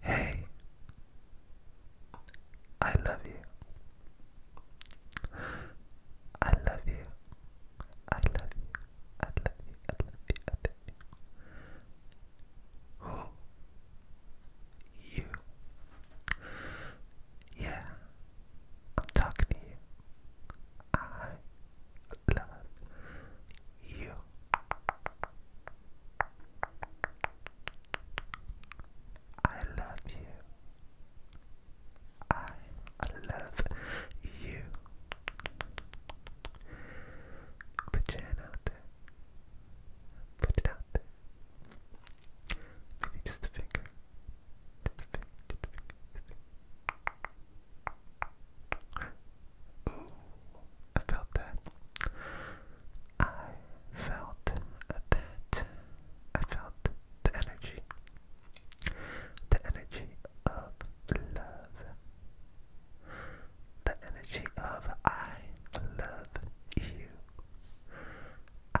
Hey, I love you. I love you. I love you. I love you. I love you. You. Yeah, I'm talking to you. I love you. I love you. I love you. Put your out there. Put it out there. Maybe Just a finger. Just a finger. I felt that. I felt that. I felt the energy. The energy of love. The energy of I love you. I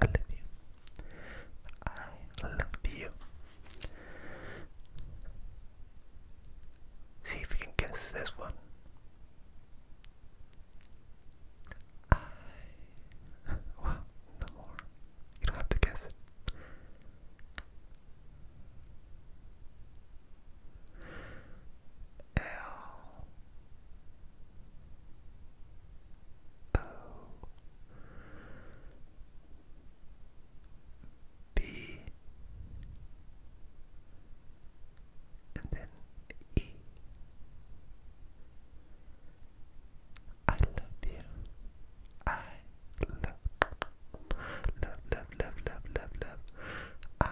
I love you. I love you. See if you can guess this one. I. Well, no more. You don't have to guess it. L O B and then E. I love you. I love, love, love, love, love, love, love. I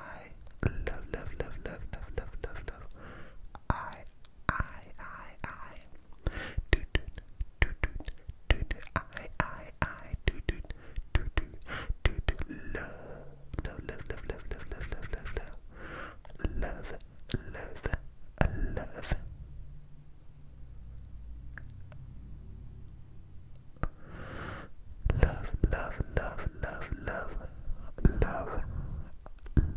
love, love, love, love, love, love, love, love. I I, I, I. Toot toot, toot toot, toot toot, I, I, I. Toot toot, toot toot, toot toot. Love, love, love, love, love, love, love, love, love, love. Love, love, love. Love, love, love, love, love, love,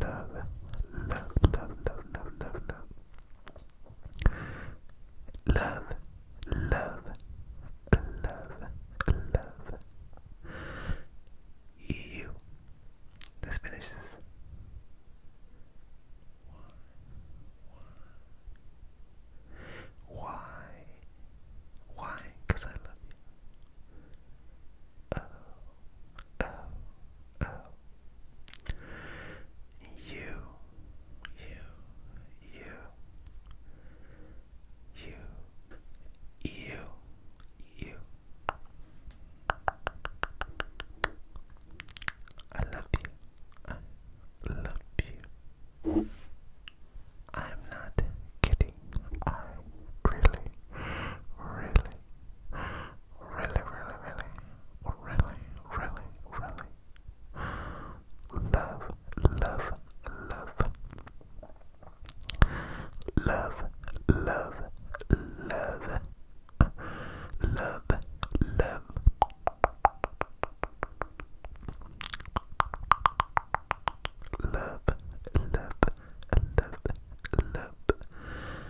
love, love, love, love, love, love, love, love, love, love, love. You. Let's finish this. Why? Why? Because I love you. Oh, oh, uh, you, you, you, you, you, you. I love you. I love you. I'm not kidding. I really, really, really, really, really, really, really, really love, love, love, love, love, love, love, love. Love, love, love, love,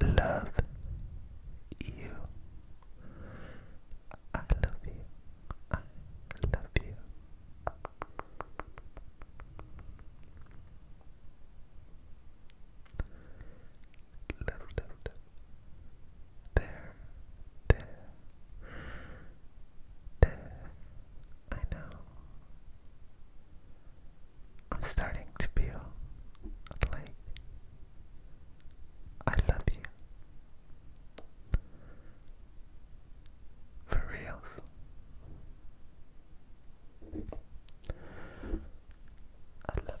love you. I love you. I love you. Love, love, love. There, there, there. I know. I'm starting to feel like I love you. For reals. I love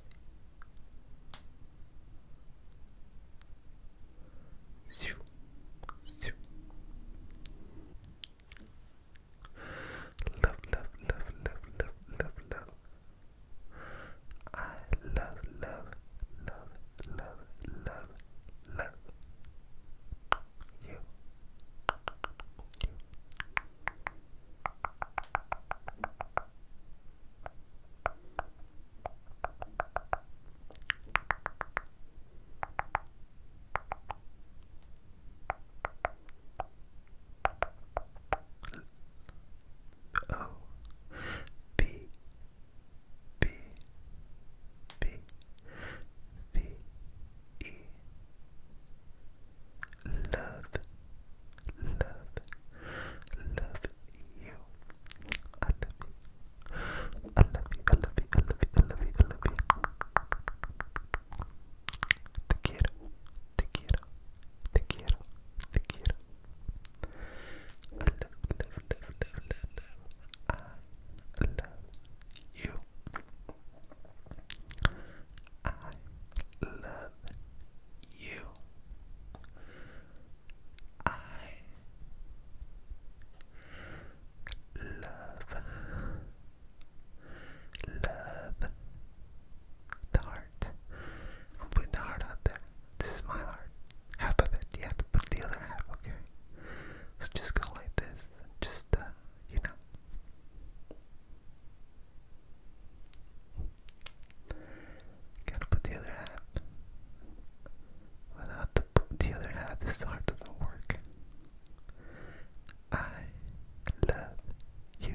you. Love, love, love, love, love, love, love. I love, love, love, love, love, love you. O B B B B E Love Love Love you I love you I love you I love you I love you I love you te quiero, te quiero, te quiero, te quiero. I love, love, love, love, love, I love you. I love you. I love, love, the heart. I'm putting the heart out there. This is my heart. Half of it. You have to put the other half, okay? So just go like this. Just, uh, you know. Gotta put the other half. Without the, the other half, this heart doesn't work. I love you.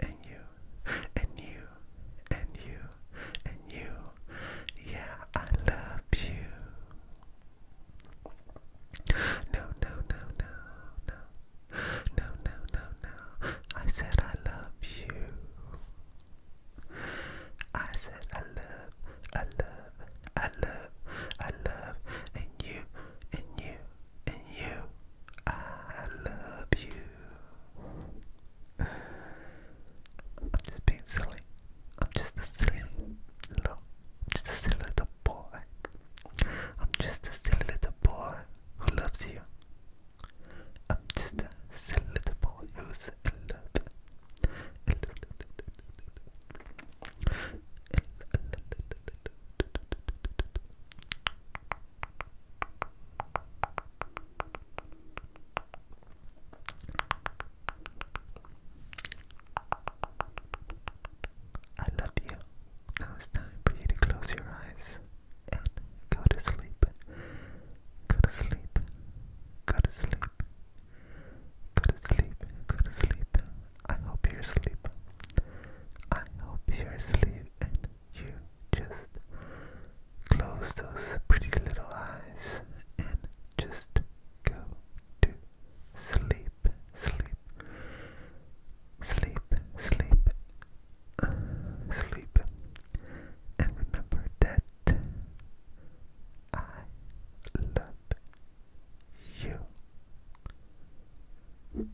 and you, and you, and you, and you. Yeah, I love you. No, no, no, no, no. No, no, no, no. I said I love you. I said I love, I love, I love, I love, and you, and you, and you. I love you. I'm just being silly. I'm just a silly little, just a silly little boy. I'm just a silly little boy who loves you. I'm just a silly little boy who's in love. I love you. Now it's time for you to close your eyes and go to sleep. Go to sleep. Go to sleep. Go to sleep. Go to sleep. I hope you're asleep. I hope you're asleep you just close those pretty little eyes and just go to sleep, sleep, sleep, sleep, uh, sleep. And remember that I love you.